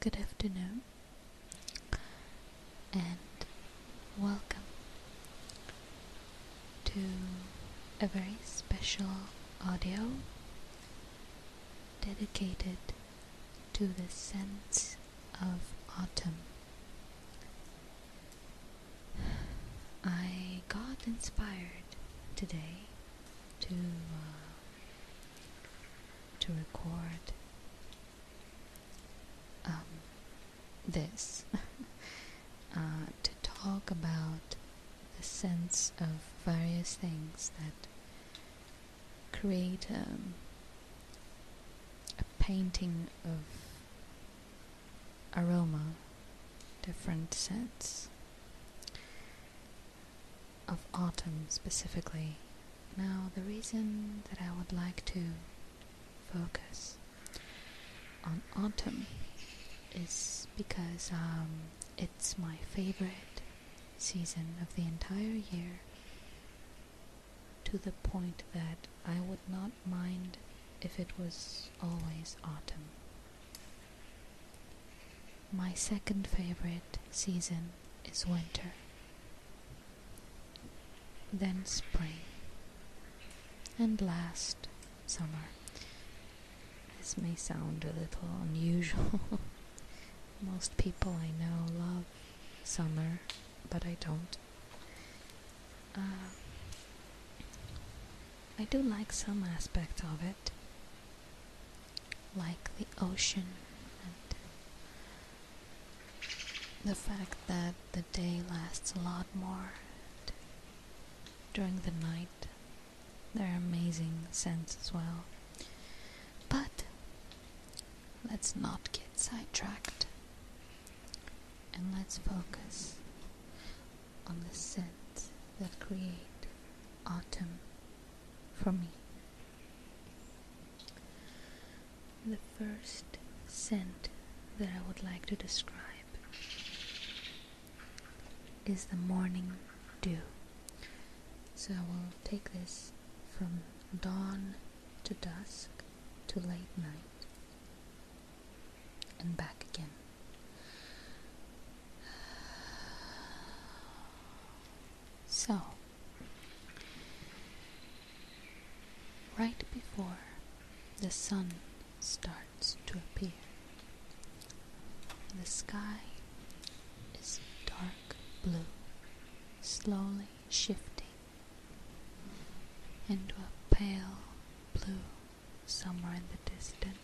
Good afternoon and welcome to a very special audio dedicated to the sense of autumn. I got inspired today to uh, to record um, this, uh, to talk about the sense of various things that create um, a painting of aroma, different scents of autumn specifically. Now, the reason that I would like to focus on autumn is because um, it's my favorite season of the entire year to the point that I would not mind if it was always autumn. My second favorite season is winter, then spring, and last summer. This may sound a little unusual. Most people I know love summer, but I don't. Uh, I do like some aspects of it like the ocean and the fact that the day lasts a lot more during the night they're amazing scents as well but let's not get sidetracked and let's focus on the scents that create autumn for me. The first scent that I would like to describe is the morning dew. So I will take this from dawn to dusk to late night and back again. So, right before the sun starts to appear, the sky is dark blue, slowly shifting into a pale blue somewhere in the distance.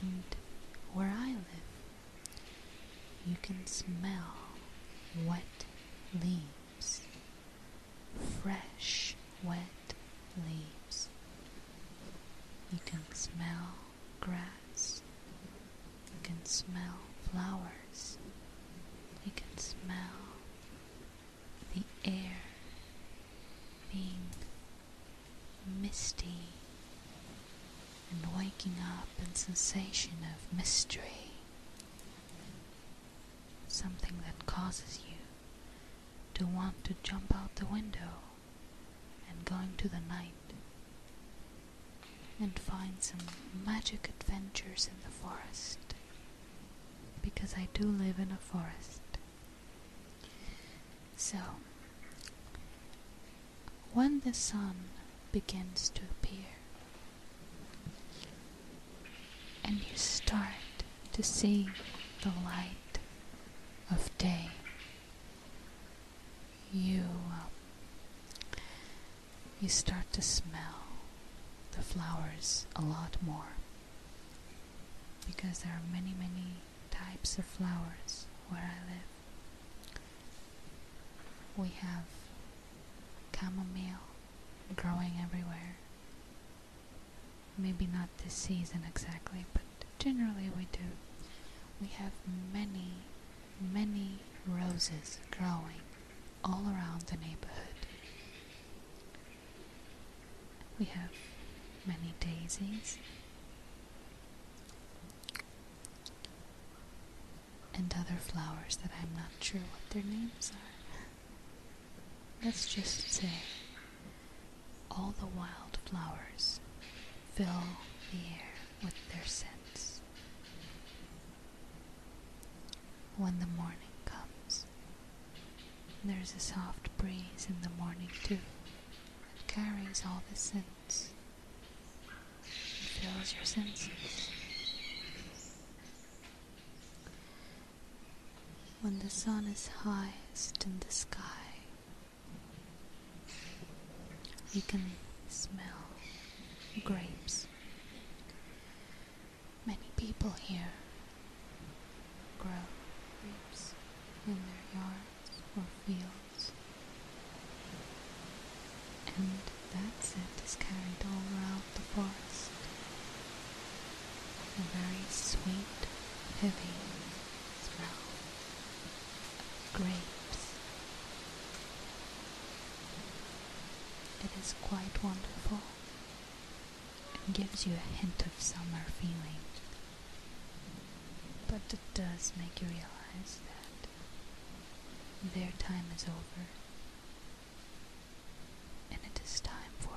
And where I live, you can smell wet leaves, fresh wet leaves. You can smell grass. You can smell flowers. You can smell the air being misty and waking up in sensation of mystery something that causes you to want to jump out the window and going to the night and find some magic adventures in the forest because I do live in a forest so, when the sun begins to appear and you start to see the light of day, you um, you start to smell the flowers a lot more because there are many, many types of flowers where I live. We have chamomile growing everywhere. Maybe not this season exactly, but generally we do. We have many, many roses growing all around the neighborhood. We have many daisies and other flowers that I'm not sure what their names are. Let's just say all the wild flowers fill the air with their scents. When the morning comes, there's a soft breeze in the morning too that carries all the scents. It fills your senses. When the sun is highest in the sky, you can smell grapes. Many people here grow grapes in their yards or fields, and that scent is carried all around the forest. A very sweet, heavy smell of grapes. It is quite wonderful and gives you a hint of summer feeling. But it does make you realize that their time is over and it is time for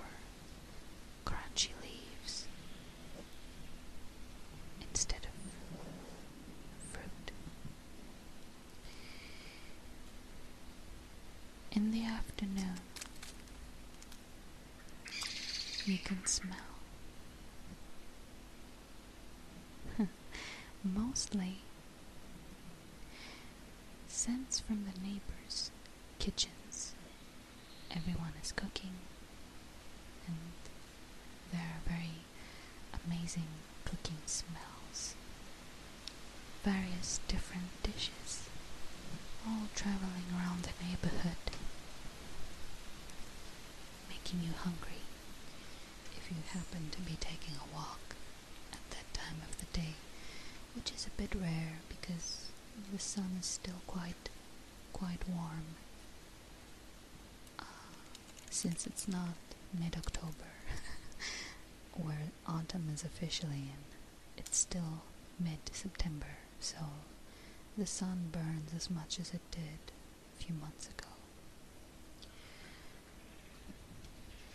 crunchy leaves instead of fruit in the afternoon, you can smell. Mostly scents from the neighbors' kitchens. Everyone is cooking, and there are very amazing cooking smells various different dishes, all traveling around the neighborhood, making you hungry if you happen to be taking a walk at that time of the day, which is a bit rare because the sun is still quite quite warm uh, since it's not mid-October where autumn is officially in it's still mid-September, so the sun burns as much as it did a few months ago.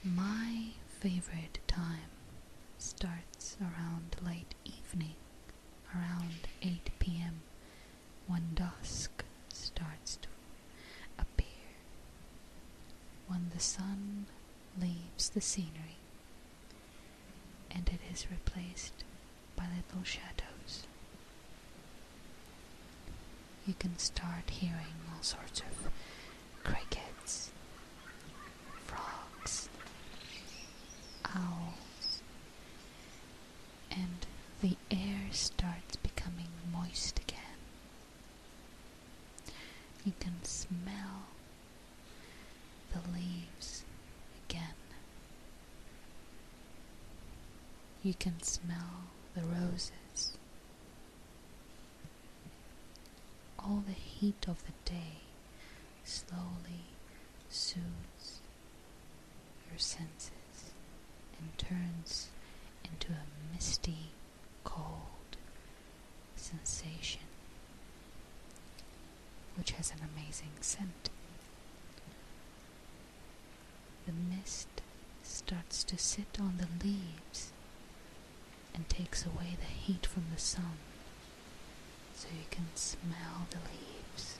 My favorite time starts around late evening, around 8 p.m., when dusk starts to appear. When the sun leaves the scenery and it is replaced by little shadows. You can start hearing all sorts of crickets, frogs, owls, and the air starts becoming moist again. You can smell the leaves again. You can smell the roses. All the heat of the day slowly soothes your senses and turns into a misty cold sensation, which has an amazing scent. The mist starts to sit on the leaves and takes away the heat from the sun, so you can smell the leaves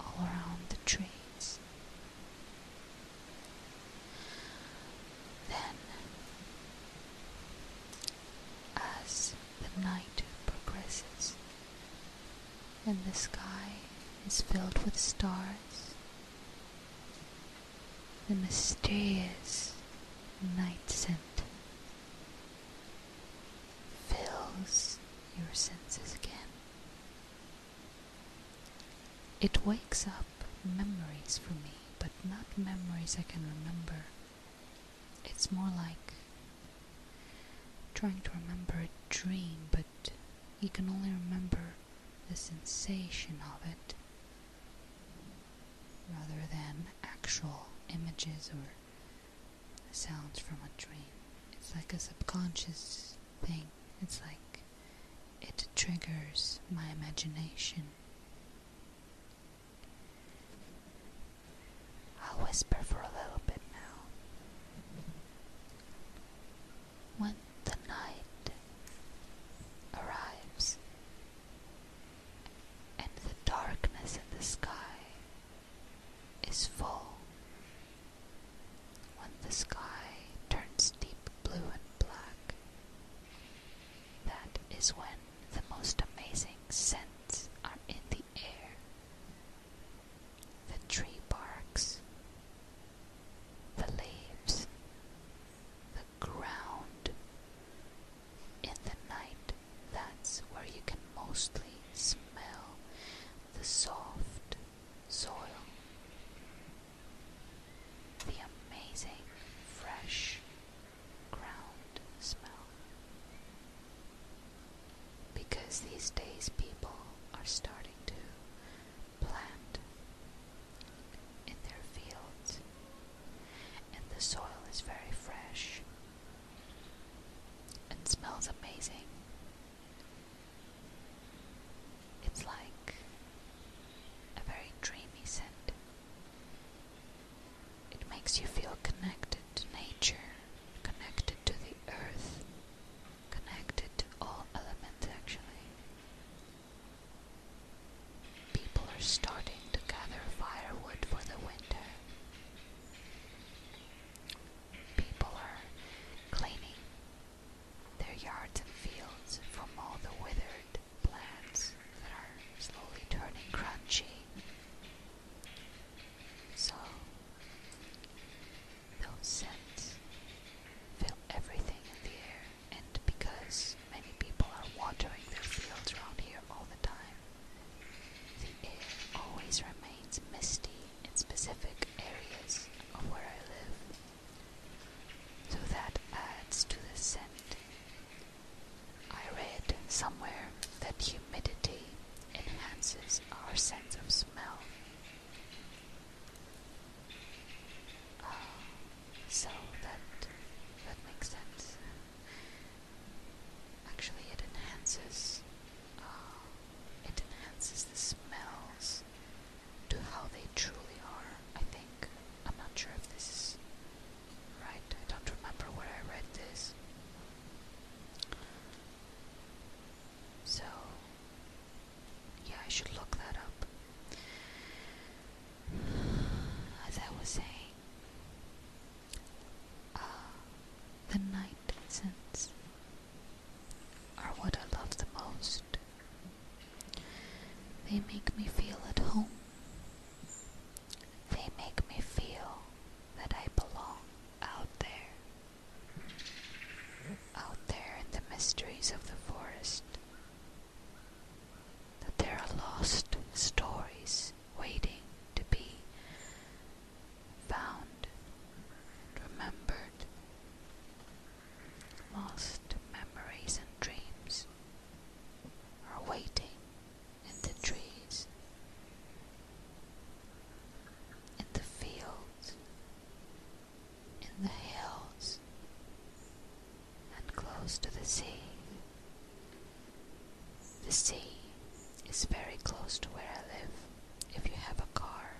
all around the trees then, as the night progresses and the sky is filled with stars, the mysterious night scent fills your senses again. It wakes up memories for me, but not memories I can remember. It's more like trying to remember a dream, but you can only remember the sensation of it rather than actual images or sounds from a dream. It's like a subconscious thing. It's like it triggers my imagination. I'll whisper for a little bit now. When the night arrives and the darkness in the sky is full when the sky turns deep blue and black. That is when the most amazing scents are in the air. The tree barks, the leaves, the ground. In the night, that's where you can mostly smell the soft, soil, the amazing fresh ground smell. Because these days people are starting to plant in their fields, and the soil is very fresh and smells amazing. It's like a very dreamy scent. It makes you feel connected to nature, connected to the earth, connected to all elements actually. People are starting to gather firewood for the winter. People are cleaning their yards and fields from all the withered plants that are slowly turning crunchy. So, those scents fill everything in the air, and because many people are watering their fields around here all the time, the air always remains misty in specific areas of where I live. So that adds to the scent. I read somewhere that humidity enhances our sense of smell. Ah, so that that makes sense. Actually, it enhances ah, it enhances the smells to how they truly are, I think. I'm not sure if this is right. I don't remember where I read this. So, yeah, I should look that up. As I was saying, uh, the night since are what I love the most. They make me feel at home. They make me feel that I belong out there. Out there in the mysteries of the forest. That there are lost stories waiting to be found, and remembered, Lost memories and dreams are waiting in the trees, in the fields, in the hills, and close to the sea. The sea is very close to where I live if you have a car.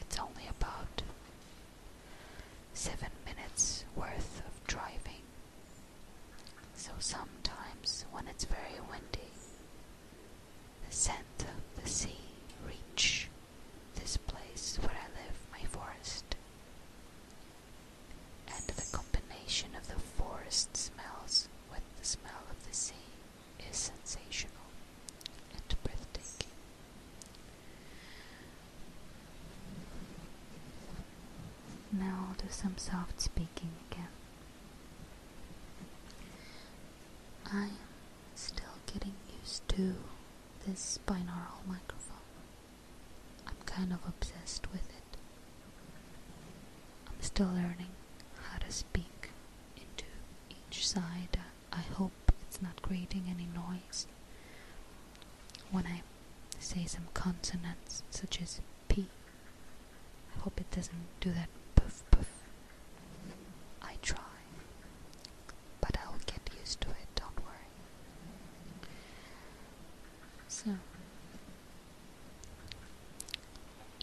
It's only about seven minutes worth of driving. So sometimes, when it's very windy, the scent of the sea reaches this place where I live, my forest. And the combination of the forest smells with the smell of the sea is sensational and breathtaking. Now I'll do some soft speaking again. I am still getting used to this binaural microphone. I'm kind of obsessed with it. I'm still learning how to speak into each side. I hope it's not creating any noise when I say some consonants such as P. I hope it doesn't do that Puff, puff. I try, but I'll get used to it, don't worry. So,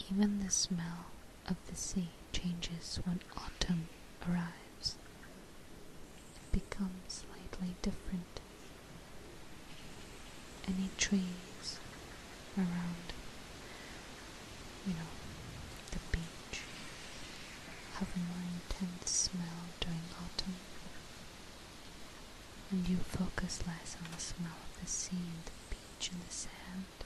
even the smell of the sea changes when autumn arrives. It becomes slightly different. Any trees around, you know, the beach have a more intense smell during autumn. And you focus less on the smell of the sea and the beach and the sand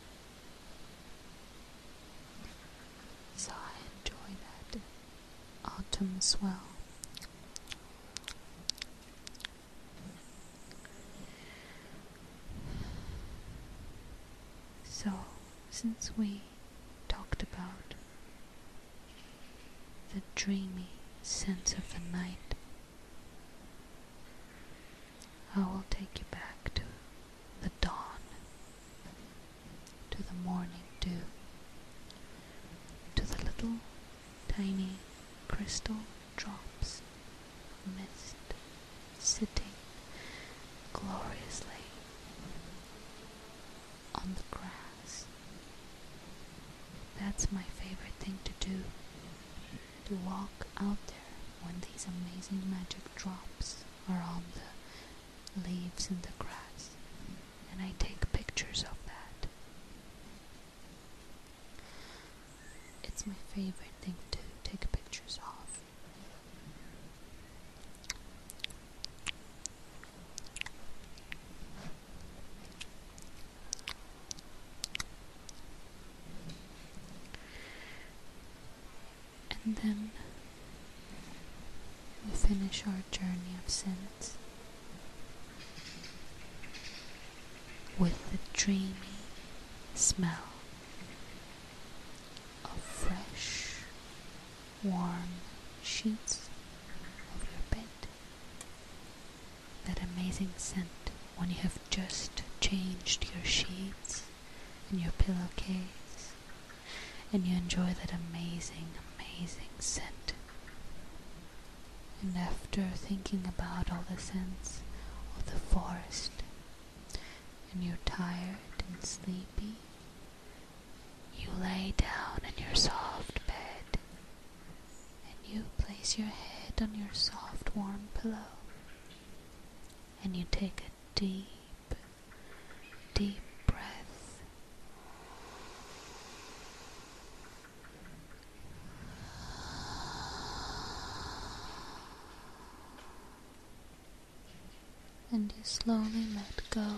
so I enjoy that autumn swell. So, since we talked about the dreamy sense of the night, I will take you back to the dawn, to the morning dew, to the little tiny crystal drops of mist sitting gloriously on the grass. That's my favorite thing to do to walk out there when these amazing magic drops are on the leaves and the grass. And I take pictures of that. It's my favorite thing to take pictures of. And then we finish our journey of sense with the dreamy smell of fresh, warm sheets of your bed that amazing scent when you have just changed your sheets and your pillowcase, and you enjoy that amazing, amazing scent. And after thinking about all the scents of the forest, and you're tired and sleepy, you lay down in your soft bed and you place your head on your soft, warm pillow, and you take a deep, deep breath. And you slowly let go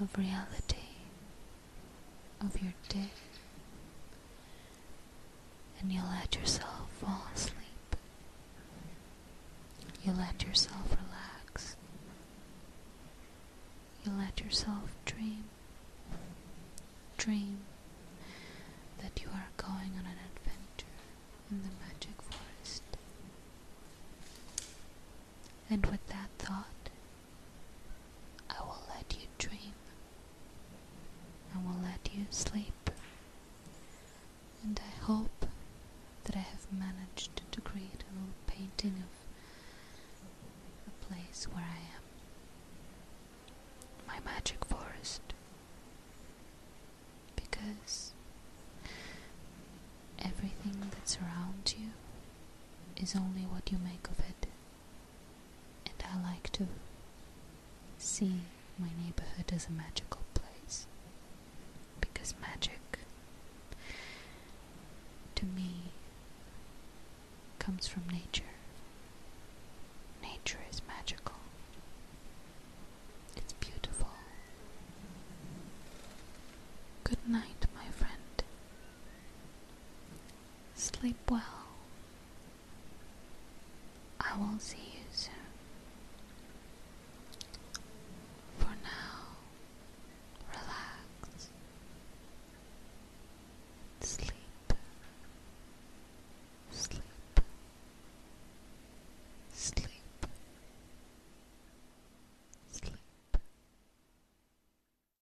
of reality of your day, and you let yourself fall asleep. You let yourself relax. You let yourself dream. Dream that you are going on an adventure in the magic forest. And with that thought, I will let you dream. I will let you sleep. And I hope that I have managed to create a little painting of the place where I am. My magic forest. Because everything that surrounds you is only what you make of it. And I like to see my neighborhood as a magical place. Because magic, to me, comes from nature. Nature is magical, it's beautiful. Good night, my friend. Sleep well. I will see you soon. For now, relax. Sleep. Sleep. Sleep. Sleep.